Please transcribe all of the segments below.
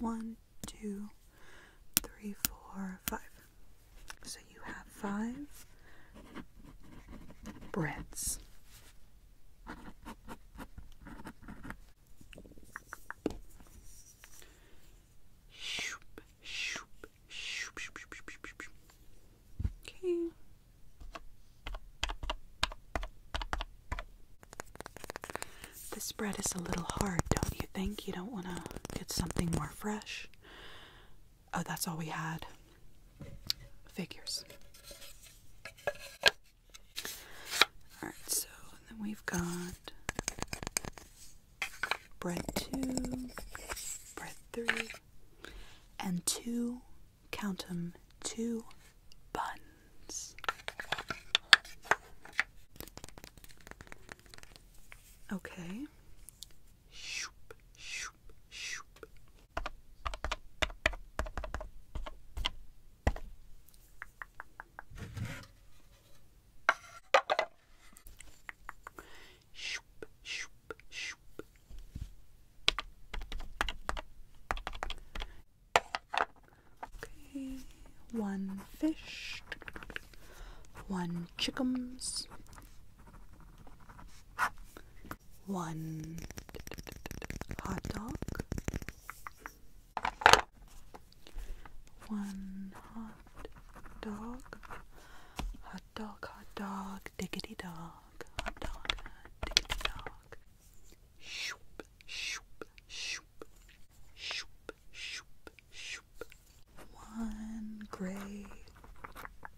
One, two, three, four, five. So you have five breads. Shoop, shoop, shoop, shoop, shoop, shoop, shoop, Okay. This bread is a little hard, don't you think? You don't want to get something more fresh. Oh, that's all we had. Figures. Alright, so then we've got bread two, bread three, and two, count them, two buns. Okay. Shoop, shoop, shoop. Shoop, shoop, shoop. Okay, one fish, one chickums, one hot dog, one hot dog, hot dog, hot dog, diggity dog dog, hot dog, tickety dog. Shoop, shoop, shoop, shoop, shoop, shoop. One gray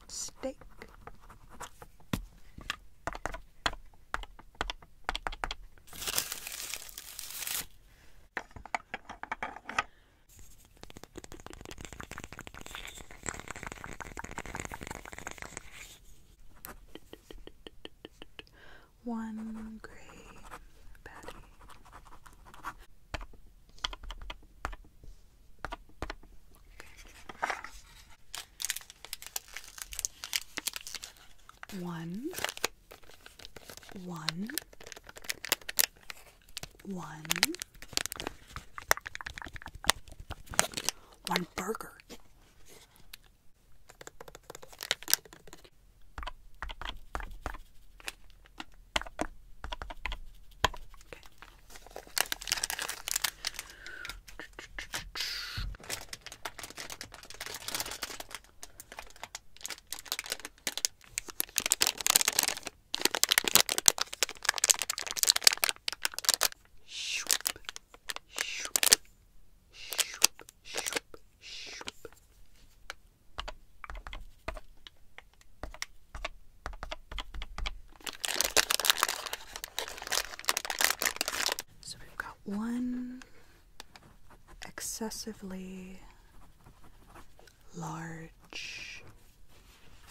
steak. One gray patty. One, one, one, one burger. Okay. Shoop, shoop, shoop, shoop, shoop. So we've got one excessively large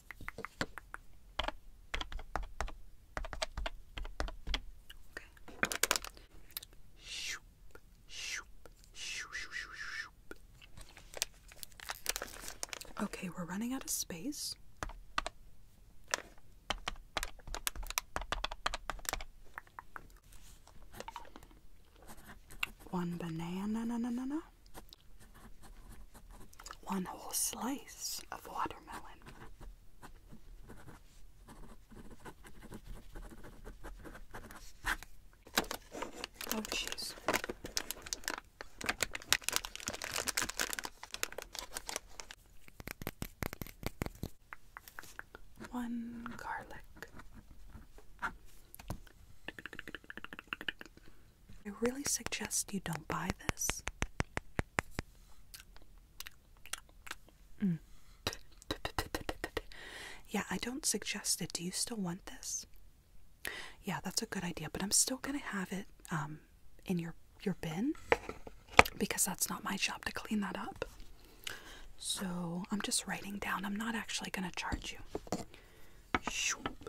Okay. Shoop, shoop, shoop, shoop, shoop, Okay, we're running out of space. One banana, na, na, na, na. one whole slice of water watermelon. Oh, jeez. One garlic. I really suggest you don't buy this. Mm. yeah, I don't suggest it. Do you still want this? Yeah, that's a good idea, but I'm still gonna have it um, in your your bin because that's not my job to clean that up. So I'm just writing down. I'm not actually gonna charge you.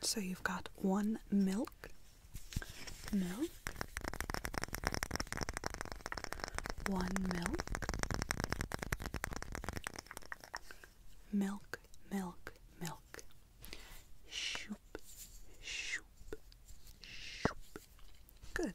So you've got one milk, milk, one milk, milk, milk, milk, shoop, shoop, shoop. Good.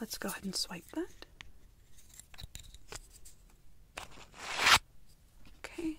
Let's go ahead and swipe that. Okay.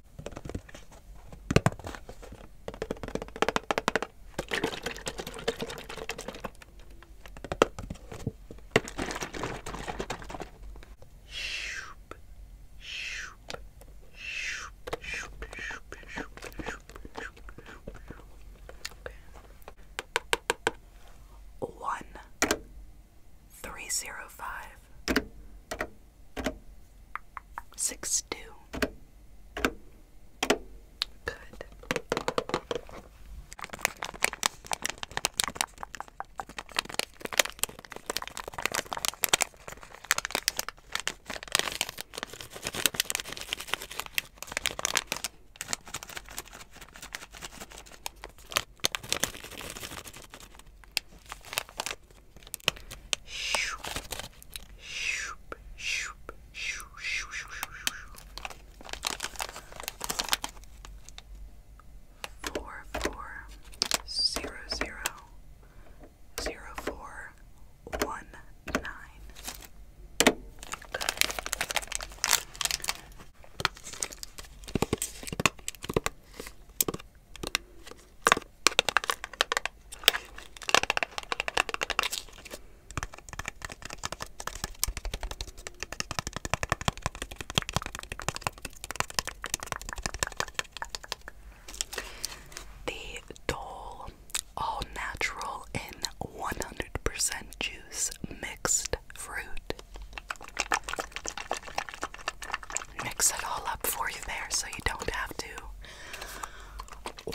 Shoop, shoop, shoop, shoop, shoop, shoop, shoop, shoop, okay. One three zero five Six two. Good. Four four zero zero zero four one nine. Good. The Dole All Natural in 100% Juice Mixed Fruit mix it all up for you there so you don't have to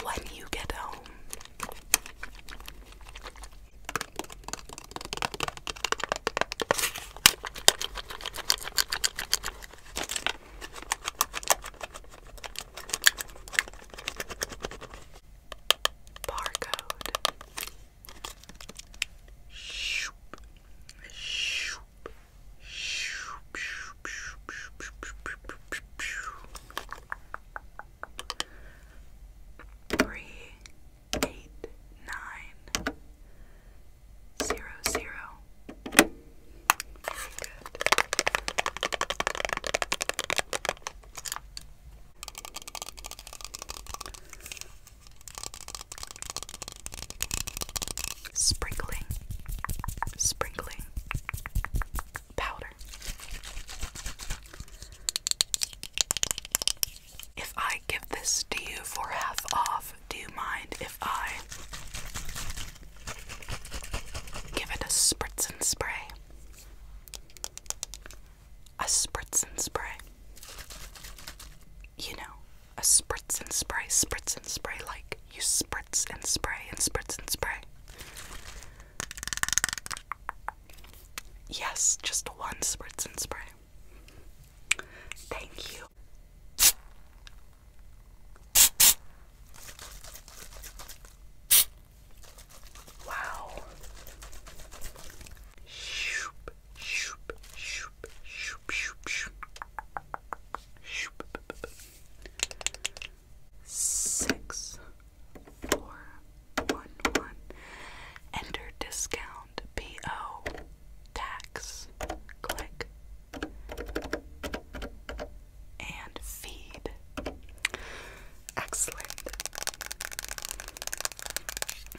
when you get home. Barcode. Shoop. Shoop. Three eight nine zero zero. Very good. Sprinkling, sprinkling powder. If I give this to you for half off, do you mind if I give it a spritz and spray? A spritz and spray. You know, a spritz and spray, spritz and spray, like you spritz and spray and spritz and spray. Yes, just one spritz and spray. Thank you. Wow shoop, shoop, shoop, shoop, shoop. Six, four, one, one. Enter discount PO tax. Click and feed. Excellent.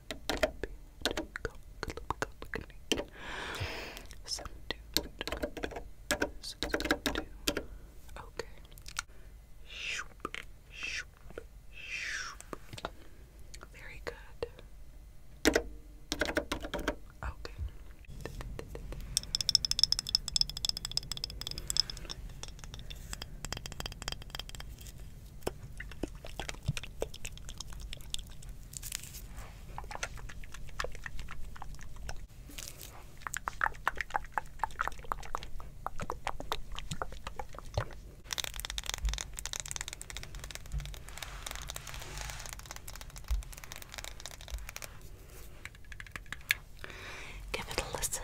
Okay. Very good. Okay. Give it a listen.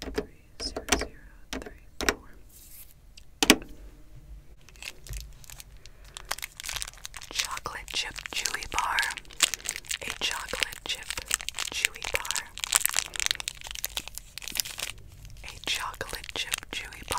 three zero zero three four. Chocolate chip chewy bar. A chocolate chip chewy bar. A chocolate chip chewy bar.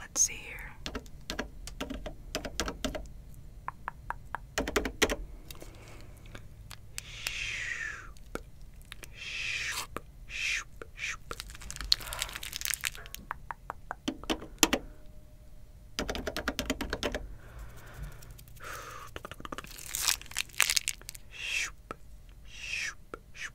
Let's see here. Shoop, shoop, shoop, shoop. Shoop, shoop, shoop,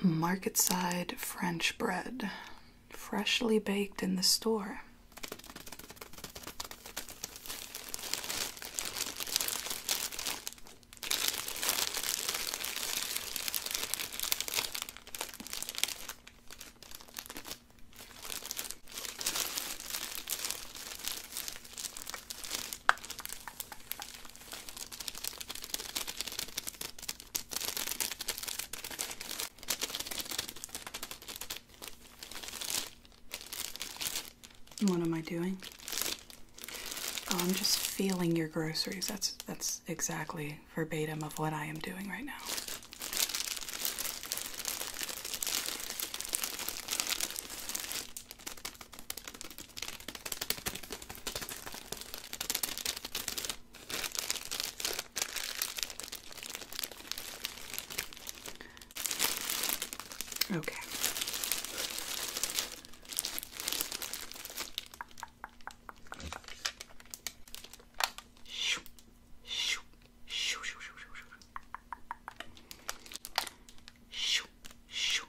Market side French bread, freshly baked in the store. What am I doing? Oh, I'm just feeling your groceries. That's that's exactly verbatim of what I am doing right now. Okay. Shoo, shoo, shoo, shoo, shoo, shoo, shoo. Shoo, shoo,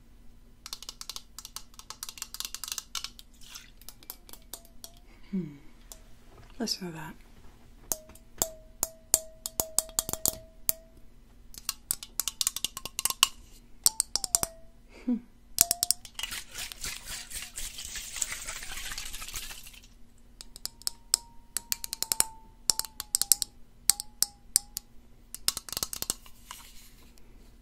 Hmm. Listen to that. Hmm.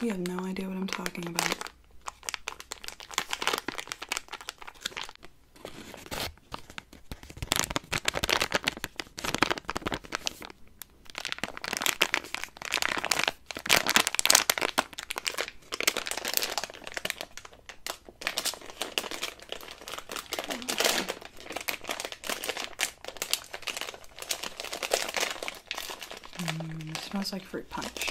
You have no idea what I'm talking about. Mm, it smells like fruit punch.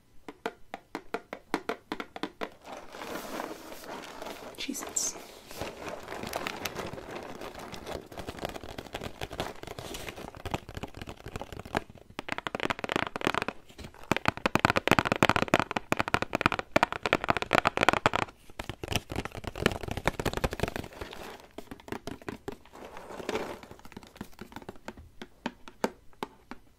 Jesus.